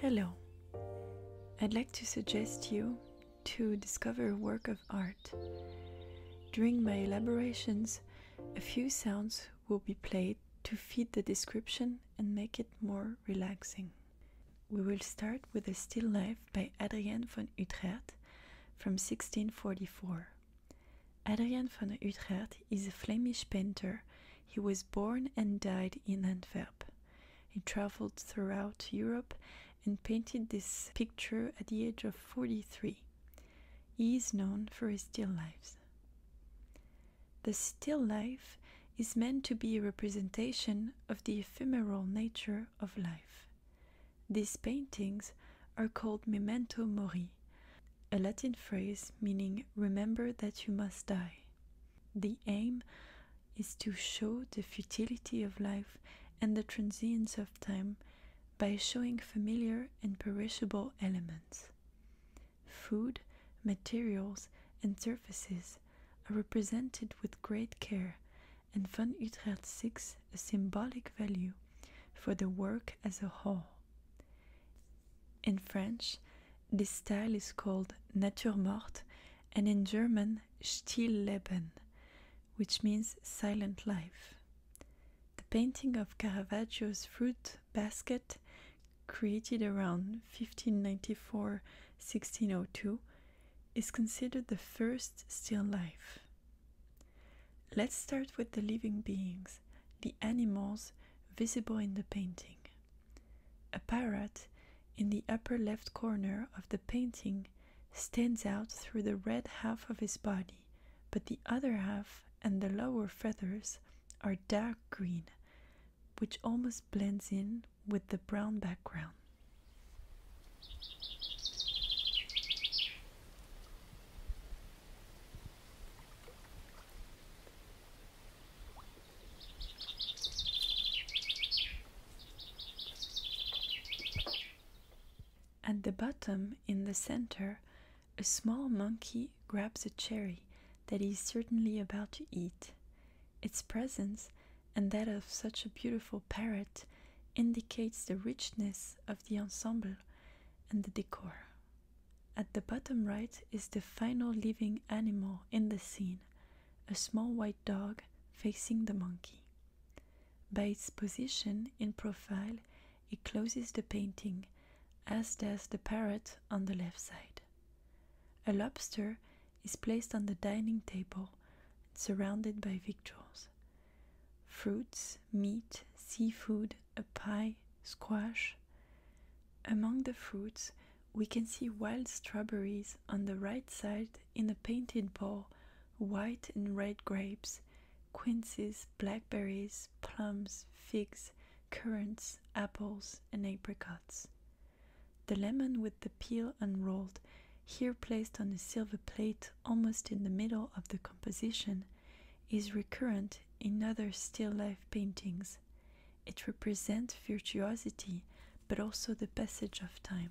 Hello. I'd like to suggest you to discover a work of art. During my elaborations, a few sounds will be played to feed the description and make it more relaxing. We will start with a still life by Adrienne van Utrecht from 1644. Adrienne van Utrecht is a Flemish painter he was born and died in Antwerp. He traveled throughout Europe and painted this picture at the age of 43. He is known for his still lifes. The still life is meant to be a representation of the ephemeral nature of life. These paintings are called memento mori, a Latin phrase meaning remember that you must die. The aim is to show the futility of life and the transience of time by showing familiar and perishable elements. Food, materials, and surfaces are represented with great care, and Van Utrecht seeks a symbolic value for the work as a whole. In French, this style is called nature morte and in German, Stillleben, which means silent life. The painting of Caravaggio's fruit basket, created around 1594 1602, is considered the first still life. Let's start with the living beings the animals visible in the painting. A parrot in the upper left corner of the painting stands out through the red half of his body, but the other half and the lower feathers are dark green, which almost blends in with the brown background. At the bottom, in the center, a small monkey grabs a cherry that he is certainly about to eat. Its presence, and that of such a beautiful parrot, indicates the richness of the ensemble and the decor. At the bottom right is the final living animal in the scene, a small white dog facing the monkey. By its position in profile, it closes the painting, as does the parrot on the left side. A lobster is placed on the dining table, surrounded by victuals fruits, meat, seafood, a pie, squash. Among the fruits, we can see wild strawberries on the right side in a painted bowl, white and red grapes, quinces, blackberries, plums, figs, currants, apples, and apricots. The lemon with the peel unrolled here placed on a silver plate almost in the middle of the composition, is recurrent in other still life paintings. It represents virtuosity but also the passage of time.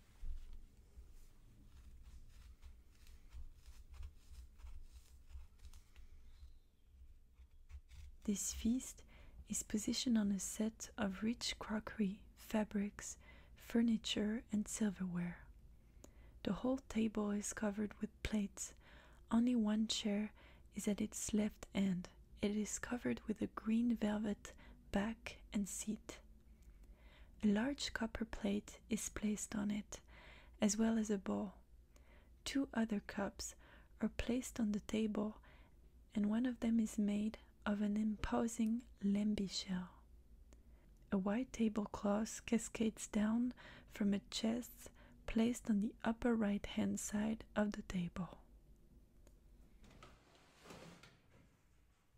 This feast is positioned on a set of rich crockery, fabrics, furniture, and silverware. The whole table is covered with plates. Only one chair is at its left end. It is covered with a green velvet back and seat. A large copper plate is placed on it, as well as a bowl. Two other cups are placed on the table, and one of them is made of an imposing lembi shell. A white tablecloth cascades down from a chest placed on the upper right hand side of the table.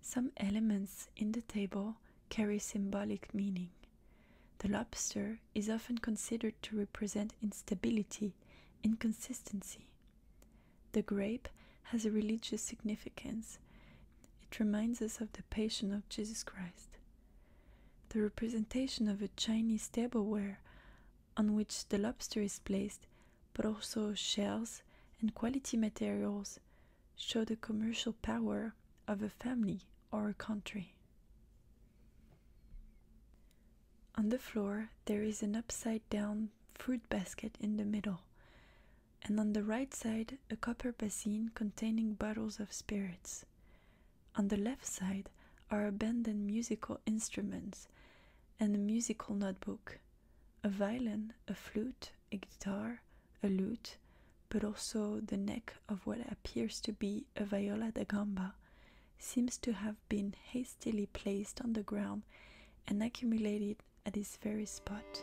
Some elements in the table carry symbolic meaning. The lobster is often considered to represent instability, inconsistency. The grape has a religious significance. It reminds us of the Passion of Jesus Christ. The representation of a Chinese tableware on which the lobster is placed, but also shells and quality materials, show the commercial power of a family or a country. On the floor, there is an upside down fruit basket in the middle, and on the right side, a copper basin containing bottles of spirits. On the left side are abandoned musical instruments and a musical notebook a violin, a flute, a guitar, a lute, but also the neck of what appears to be a viola da gamba seems to have been hastily placed on the ground and accumulated at this very spot.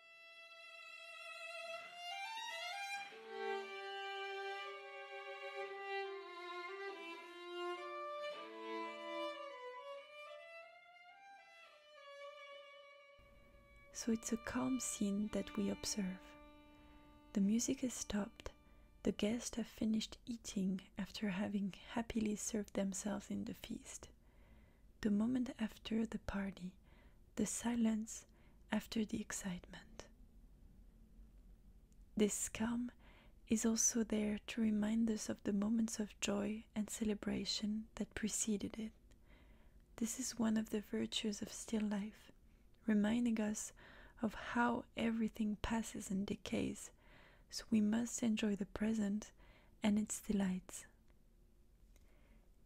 So it's a calm scene that we observe. The music has stopped, the guests have finished eating after having happily served themselves in the feast the moment after the party, the silence after the excitement. This calm is also there to remind us of the moments of joy and celebration that preceded it. This is one of the virtues of still life, reminding us of how everything passes and decays, so we must enjoy the present and its delights.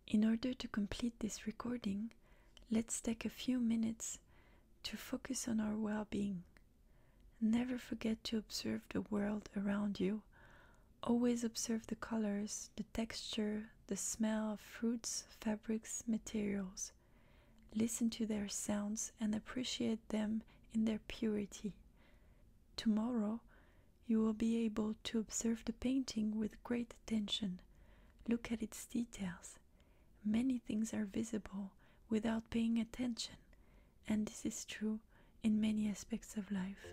In order to complete this recording, let's take a few minutes to focus on our well being. Never forget to observe the world around you. Always observe the colors, the texture, the smell of fruits, fabrics, materials. Listen to their sounds and appreciate them in their purity. Tomorrow, you will be able to observe the painting with great attention. Look at its details. Many things are visible without paying attention, and this is true in many aspects of life.